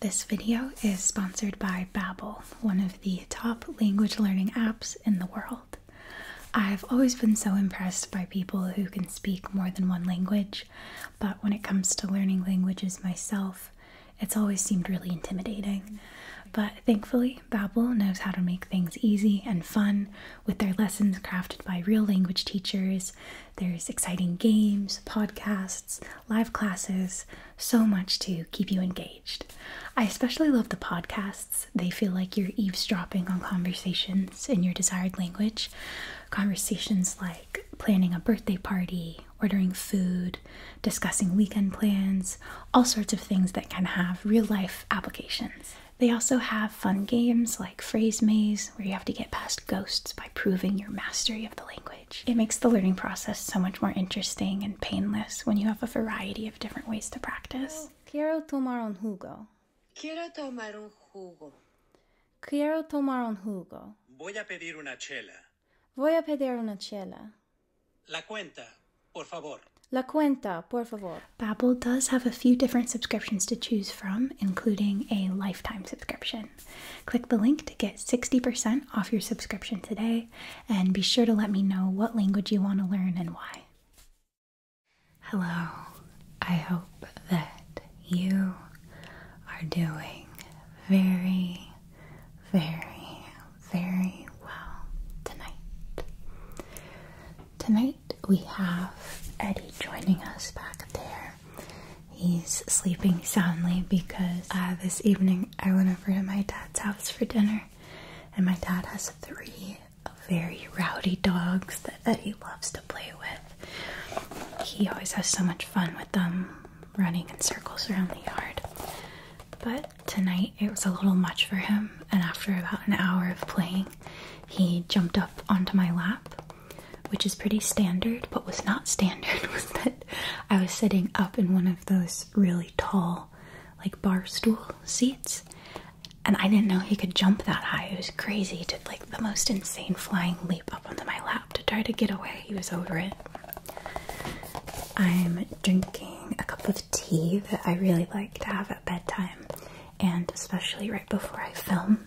This video is sponsored by Babbel, one of the top language learning apps in the world. I've always been so impressed by people who can speak more than one language, but when it comes to learning languages myself, it's always seemed really intimidating. But thankfully, Babbel knows how to make things easy and fun with their lessons crafted by real language teachers. There's exciting games, podcasts, live classes, so much to keep you engaged. I especially love the podcasts. They feel like you're eavesdropping on conversations in your desired language. Conversations like planning a birthday party, ordering food, discussing weekend plans, all sorts of things that can have real life applications. They also have fun games like Phrase Maze, where you have to get past ghosts by proving your mastery of the language. It makes the learning process so much more interesting and painless when you have a variety of different ways to practice. Quiero tomar un jugo. Quiero tomar un jugo. Quiero tomar un jugo. Voy a pedir una chela. Voy a pedir una chela. La cuenta, por favor. La cuenta, por favor. Babbel does have a few different subscriptions to choose from, including a lifetime subscription. Click the link to get 60% off your subscription today, and be sure to let me know what language you want to learn and why. Hello, I hope that you are doing very, very, very well tonight. Tonight we have Eddie joining us back there He's sleeping soundly because this evening I went over to my dad's house for dinner, and my dad has three very rowdy dogs that, that he loves to play with. He always has so much fun with them running in circles around the yard. But tonight it was a little much for him, and after about an hour of playing, he jumped up onto my lap, which is pretty standard. But was not standard with that I was sitting up in one of those really tall, like bar stool seats, and I didn't know he could jump that high. It was crazy. He did like the most insane flying leap up onto my lap to try to get away. He was over it. I'm drinking a cup of tea that I really like to have at bedtime, and especially right before I film.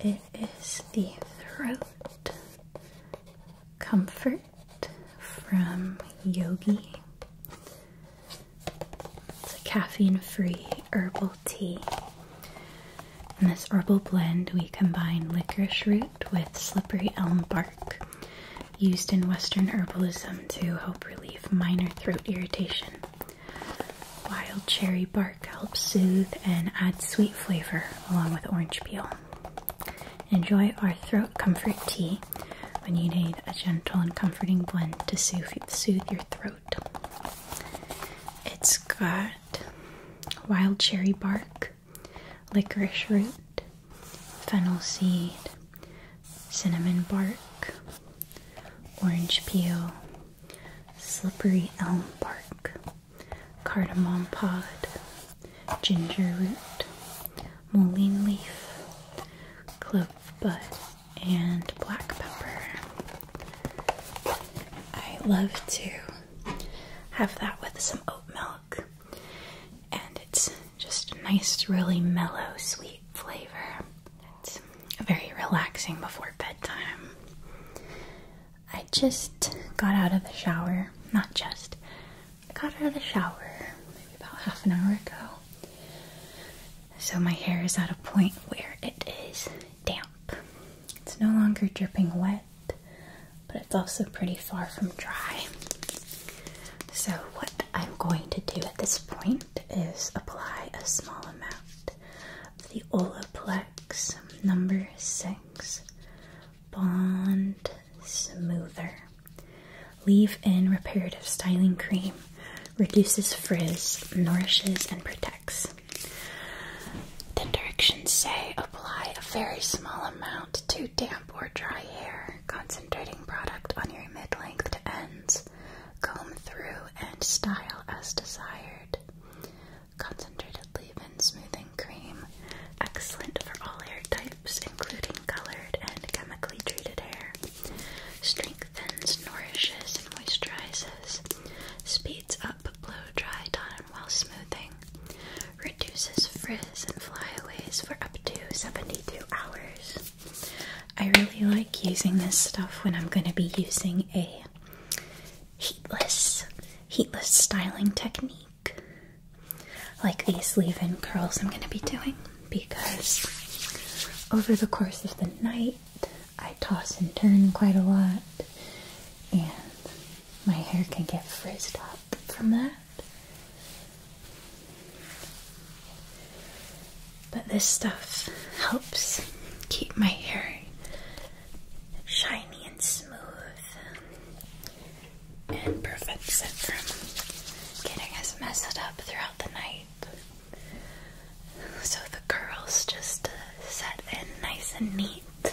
It is the throat Comfort from Yogi. It's a caffeine free herbal tea. In this herbal blend, we combine licorice root with slippery elm bark, used in Western herbalism to help relieve minor throat irritation. Wild cherry bark helps soothe and add sweet flavor along with orange peel. Enjoy our throat comfort tea when you need a gentle and comforting blend to soothe, your throat. It's got wild cherry bark, licorice root, fennel seed, cinnamon bark, orange peel, slippery elm bark, cardamom pod, ginger root, moline leaf, clove bud, and black pepper. I love to have that with some oat milk, and it's just a nice, really mellow, sweet flavor. It's very relaxing before bedtime. I just got out of the shower. Not just. got out of the shower maybe about half an hour ago. So my hair is at a point where it is damp. It's no longer dripping wet, but it's also pretty far from dry. So what I'm going to do at this point is apply a small amount of the Olaplex number 6 Bond Smoother. Leave in reparative styling cream. Reduces frizz, nourishes, and protects. The directions say apply a very small amount to damp or dry hair, concentrating product on your mid length to ends. Comb through and style as desired. Concentrated leave-in smoothing cream. Excellent for all hair types, including colored and chemically treated hair. Strengthens, nourishes, and moisturizes. Speeds up blow-dry time while smoothing. Reduces frizz and flyaways for up to 72 hours. I really like using this stuff when I'm going to be using a heatless, heatless styling technique like these leave-in curls I'm going to be doing because over the course of the night I toss and turn quite a lot and my hair can get frizzed up from that. But this stuff helps keep my hair shiny and smooth and prevents it from getting us messed up throughout the night. So the curls just uh, set in nice and neat. So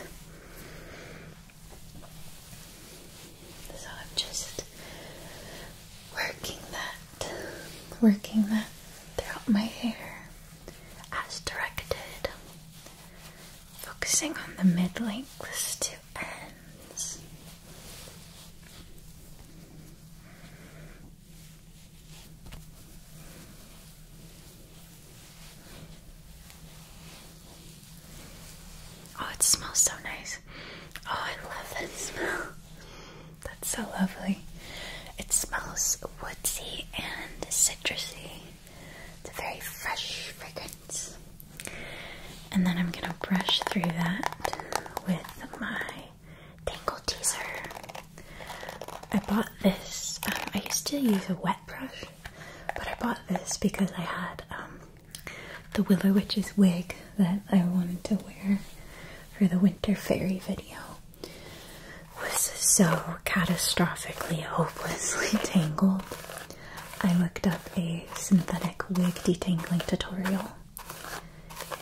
I'm just working that, working that throughout my hair as directed focusing on the mid lengths to ends. Oh, it smells so nice. Oh, I love that smell. That's so lovely. It smells woodsy and citrusy. It's a very fresh fragrance. And then I'm gonna brush through that with my Tangle Teaser. I bought this, um, I used to use a wet brush, but I bought this because I had um, the Willow Witch's wig that I wanted to wear for the Winter Fairy video. was so catastrophically, hopelessly tangled I looked up a synthetic wig detangling tutorial,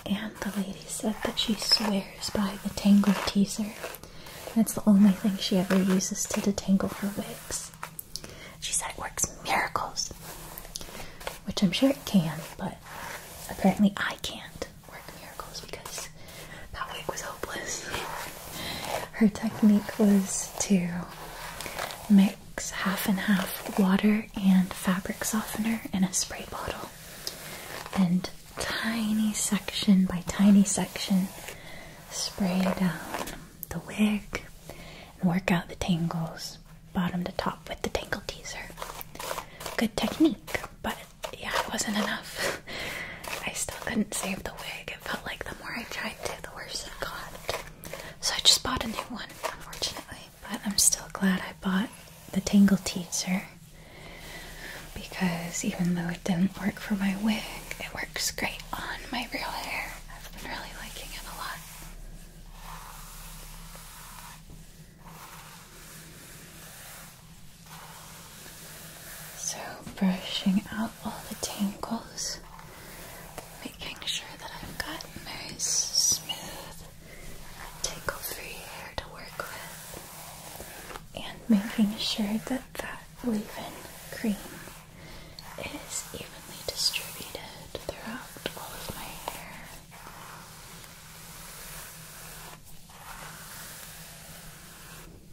and the lady said that she swears by the Tangle Teaser. That's the only thing she ever uses to detangle her wigs. She said it works miracles, which I'm sure it can, but apparently I can't work miracles because that wig was hopeless. Her technique was to mix half and half water and fabric softener in a spray bottle and tiny section by tiny section spray down the wig and work out the tangles bottom to top with the tangle teaser. Good technique, but yeah, it wasn't enough. I still couldn't save the wig like it felt like the more I tried to, the worse it got. So I just bought a new one, unfortunately. But I'm still glad I bought the Tangle Teaser because even though it didn't work for my wig, it works great on my real hair. I've been really liking it a lot. So, brushing out all the tangles, making sure that I've got nice, smooth, tangle free hair to work with, and making sure that that leave in cream is evenly distributed throughout all of my hair.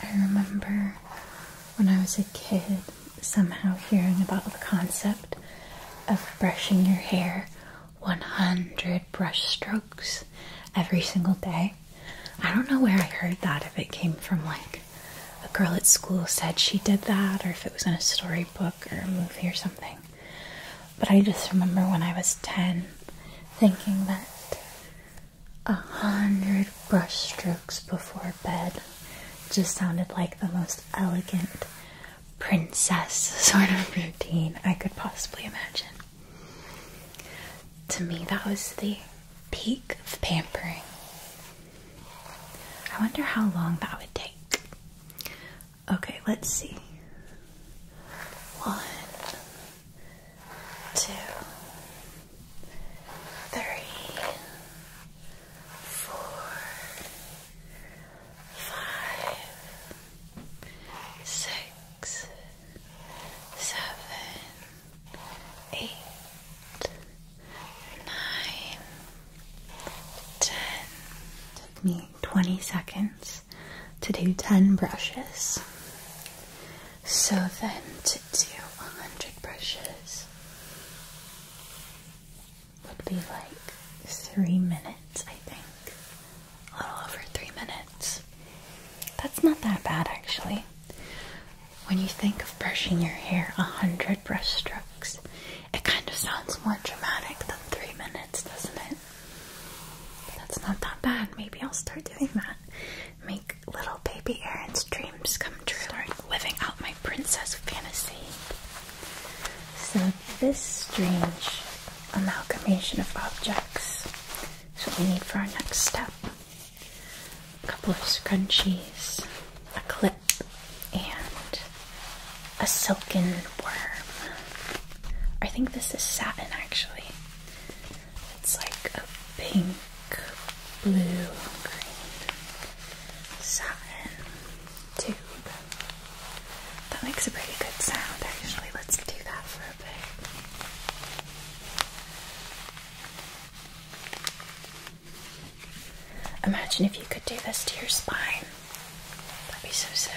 I remember when I was a kid somehow hearing about the concept of brushing your hair 100 brush strokes every single day. I don't know where I heard that, if it came from like a girl at school said she did that, or if it was in a storybook or a movie or something. But I just remember when I was 10 thinking that a hundred brushstrokes before bed just sounded like the most elegant princess sort of routine I could possibly imagine. To me, that was the peak of pampering. I wonder how long that would take. Okay, let's see. One, two, three, four, five, six, seven eight, nine, ten. took me 20 seconds to do 10 brushes. So then to do 100 brushes would be like three minutes, I think. A little over three minutes. That's not that bad actually. When you think of brushing your hair a hundred brush strokes, it kind of sounds more dramatic than three minutes, doesn't it? that's not that bad. Maybe I'll start doing that. Make little baby Aaron's dreams come true. Start living out my princess fantasy. So this strange amalgamation of objects is what we need for our next step a couple of scrunchies, a clip, and a silken worm. I think this is satin actually. It's like a pink, blue, green satin tube. That makes a pretty good sound actually. Let's do that for Imagine if you could do this to your spine. That'd be so sick.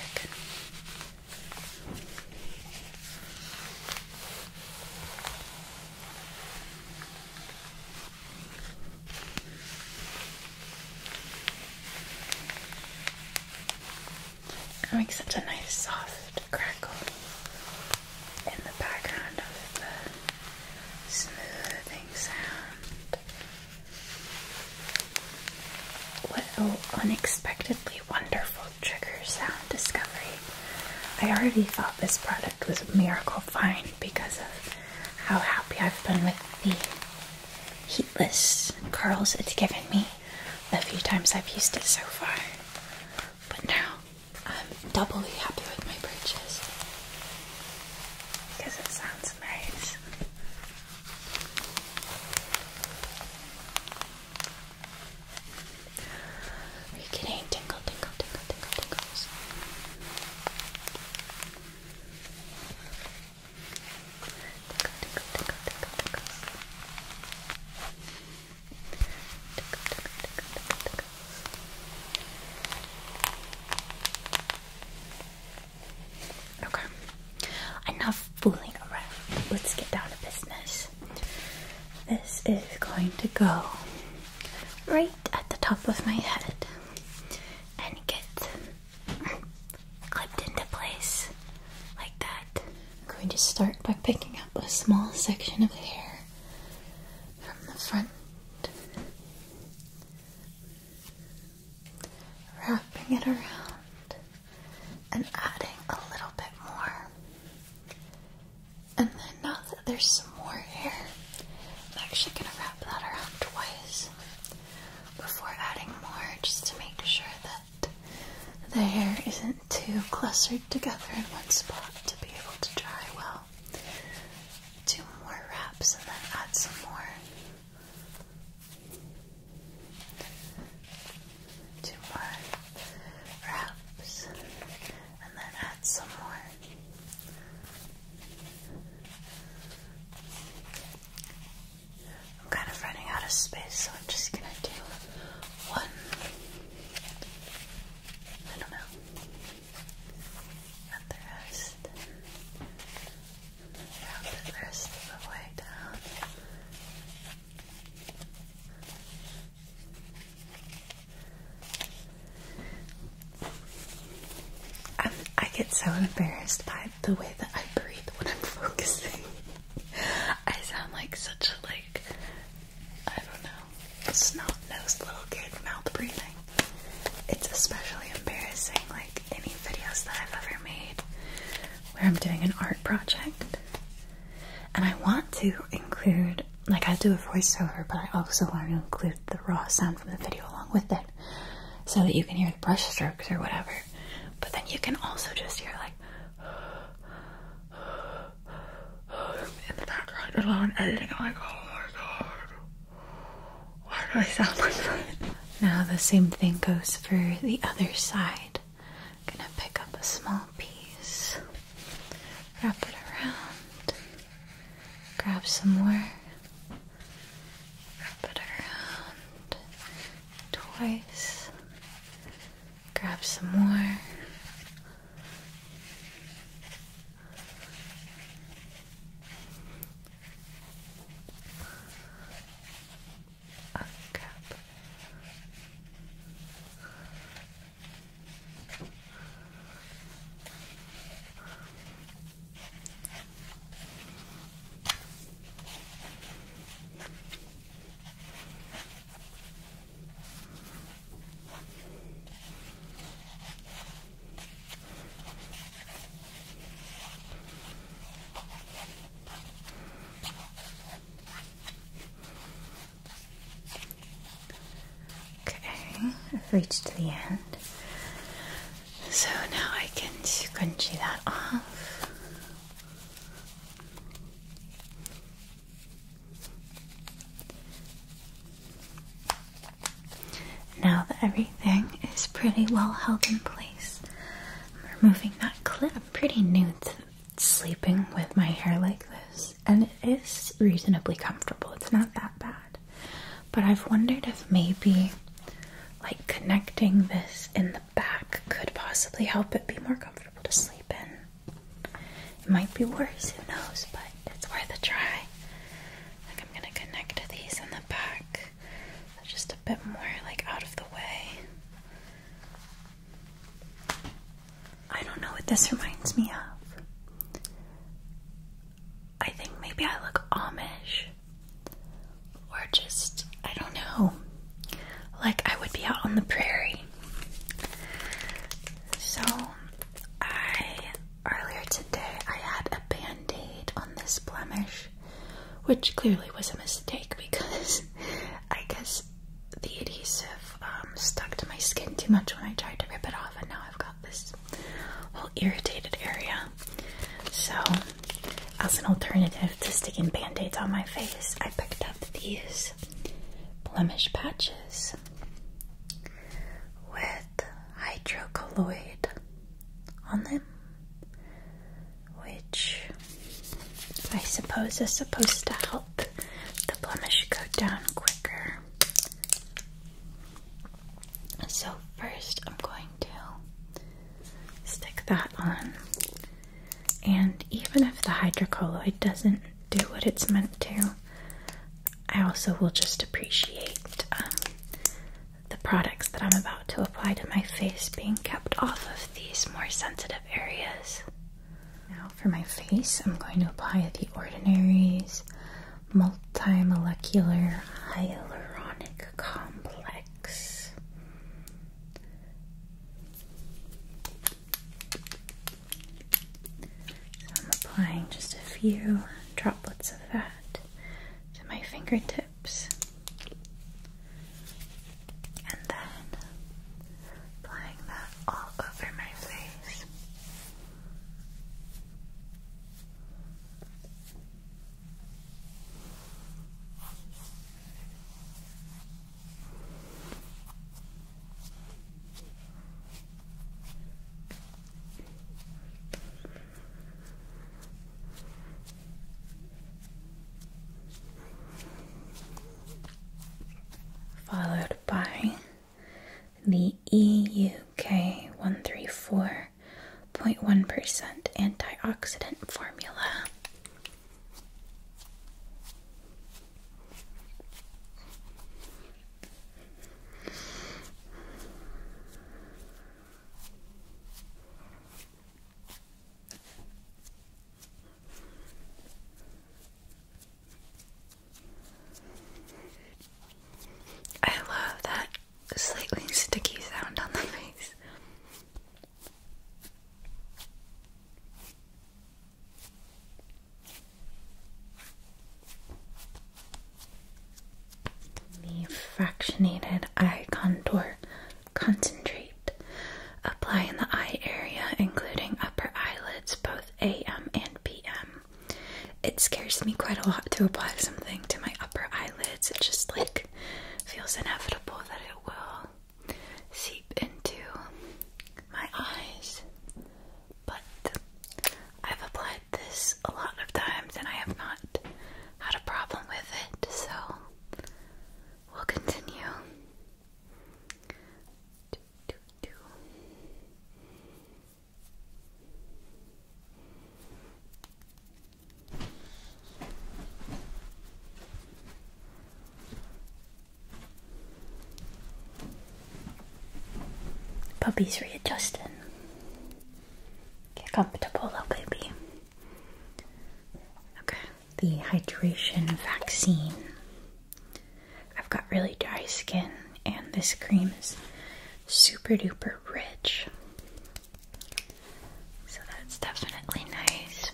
It makes such a nice soft crackle in the background of the smoothing sound. What an unexpectedly wonderful trigger sound discovery. I already thought this product was a miracle find because of how happy I've been with the heatless curls it's given me the few times I've used it so far. But now I'm doubly happy with my purchase because it sounds nice. Are you getting tingle, tingle, tingle, tingle, tingles? Tickle, tickle, tickle, tickle, tickle. Okay. Enough fooling around. Let's get down to business. This is going to go right at the top of my head and get clipped into place like that. I'm going to start by picking up a small section of hair from the front, wrapping it around and adding a little bit more. And then now that there's some more hair, I'm actually going to wrap that around twice before adding more just to make sure that the hair isn't too clustered together in one spot to be able to dry well. Two more wraps and then add some more. Two more wraps and then add some more. I'm kind of running out of space, so I'm just gonna do one I don't know. the rest. the rest of the way down. I get so embarrassed by the way that I breathe when I'm focusing. I sound like such a like I don't know, snot-nosed little kid mouth breathing. It's especially embarrassing, like any videos that I've ever made where I'm doing an art project. And I want to include, like I do a voiceover, but I also want to include the raw sound from the video along with it. So that you can hear the brushstrokes or whatever. But then you can also just hear like in the background alone editing. I'm like, oh my god, why do I sound like that? Now the same thing goes for the other side. I'm gonna pick up a small piece, wrap it around, grab some more, wrap it around twice grab some more. Oh, crap. Okay, I've reached the end. So now I can scrunchy that off. Now that everything is pretty well held in place, I'm removing that clip. I'm pretty new to sleeping with my hair like this, and it is reasonably comfortable. It's not that bad. But I've wondered if maybe like connecting this in the back could possibly help it be more comfortable to sleep in. It might be worse, who knows, but it's worth a try. Like, I'm gonna connect these in the back, so just a bit more, like, out of the way. I don't know what this reminds me of. I think maybe I look Amish. Or just, I don't know. Like, I would be out on the prairie so, I earlier today I had a band aid on this blemish, which clearly was a mistake because I guess the adhesive um, stuck to my skin too much when I tried to rip it off, and now I've got this whole irritated area. So, as an alternative to sticking band aids on my face, I picked up these blemish patches with hydrocolloid on them, which I suppose is supposed to help the blemish go down quicker. So, first, I'm going to stick that on and even if the hydrocolloid doesn't do what it's meant to, I also will just appreciate um, the products that I'm about to apply to my face being kept off of these more sensitive areas. Now, for my face, I'm going to apply the Ordinary's multi-molecular Hyaluronic Complex. I'm applying just a few droplets of that to my fingertips. And then applying that all over my face. Followed by the EUK 134.1% antioxidant formula. I love that slightly sticky sound on the face. The fractionated eye contour concentrate. Apply in the eye area, including upper eyelids, both AM and PM. It scares me quite a lot to apply something to my upper eyelids. It just like feels inevitable that it will seep into my eyes, but I've applied this a lot of times and I have not had a problem with it, so we'll continue. Puppy's readjusting. Get comfortable, little baby. Okay, the hydration vaccine. I've got really dry skin, and this cream is super duper rich. So that's definitely nice.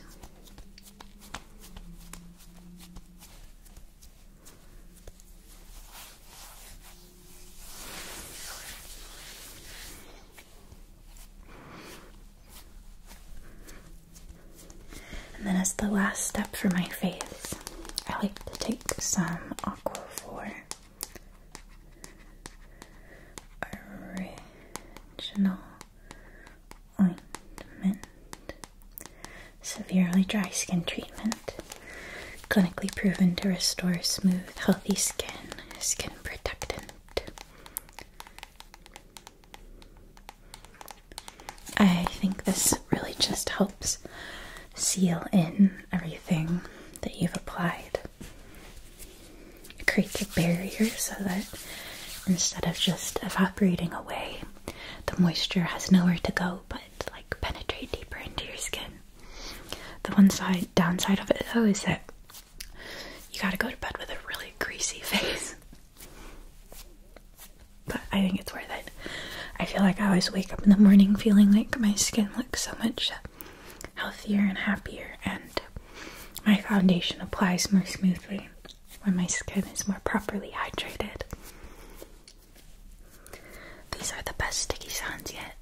And then, as the last step for my face, I like to take some Aquaphor original ointment. Severely dry skin treatment. Clinically proven to restore smooth, healthy skin. Skin protectant. I think this really just helps seal in everything that you've applied. create creates a barrier so that instead of just evaporating away, the moisture has nowhere to go but like penetrate deeper into your skin. The one side downside of it though is that you gotta go to bed with a really greasy face. But I think it's worth it. I feel like I always wake up in the morning feeling like my skin looks so much healthier and happier, and my foundation applies more smoothly. When my skin is more properly hydrated. These are the best sticky sounds yet.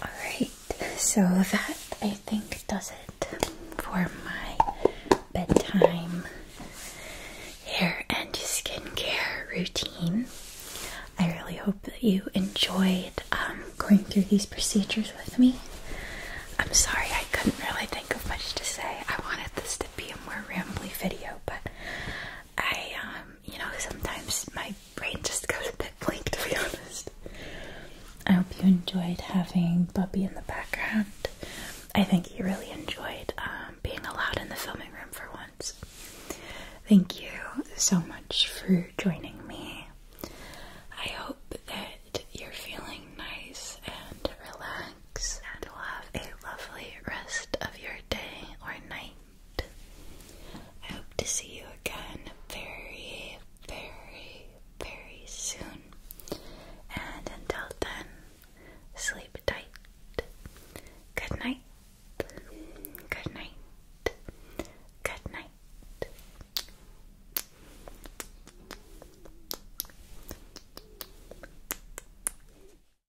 Alright, so that I think does it for my bedtime hair and skincare routine. I really hope that you enjoyed um, going through these procedures with me. I'm sorry I couldn't really think of much to say. I wanted this to be a more rambly video, but I um, you know, sometimes my brain just goes a bit blank to be honest. I hope you enjoyed having Bubby in the background. I think he really enjoyed um, being allowed in the filming room for once. Thank you so much for joining me. I hope that you're feeling nice and relaxed and will have a lovely rest of your day or night. I hope to see you again very, very, very soon. And until then, sleep tight. Good night. Good night. Good night.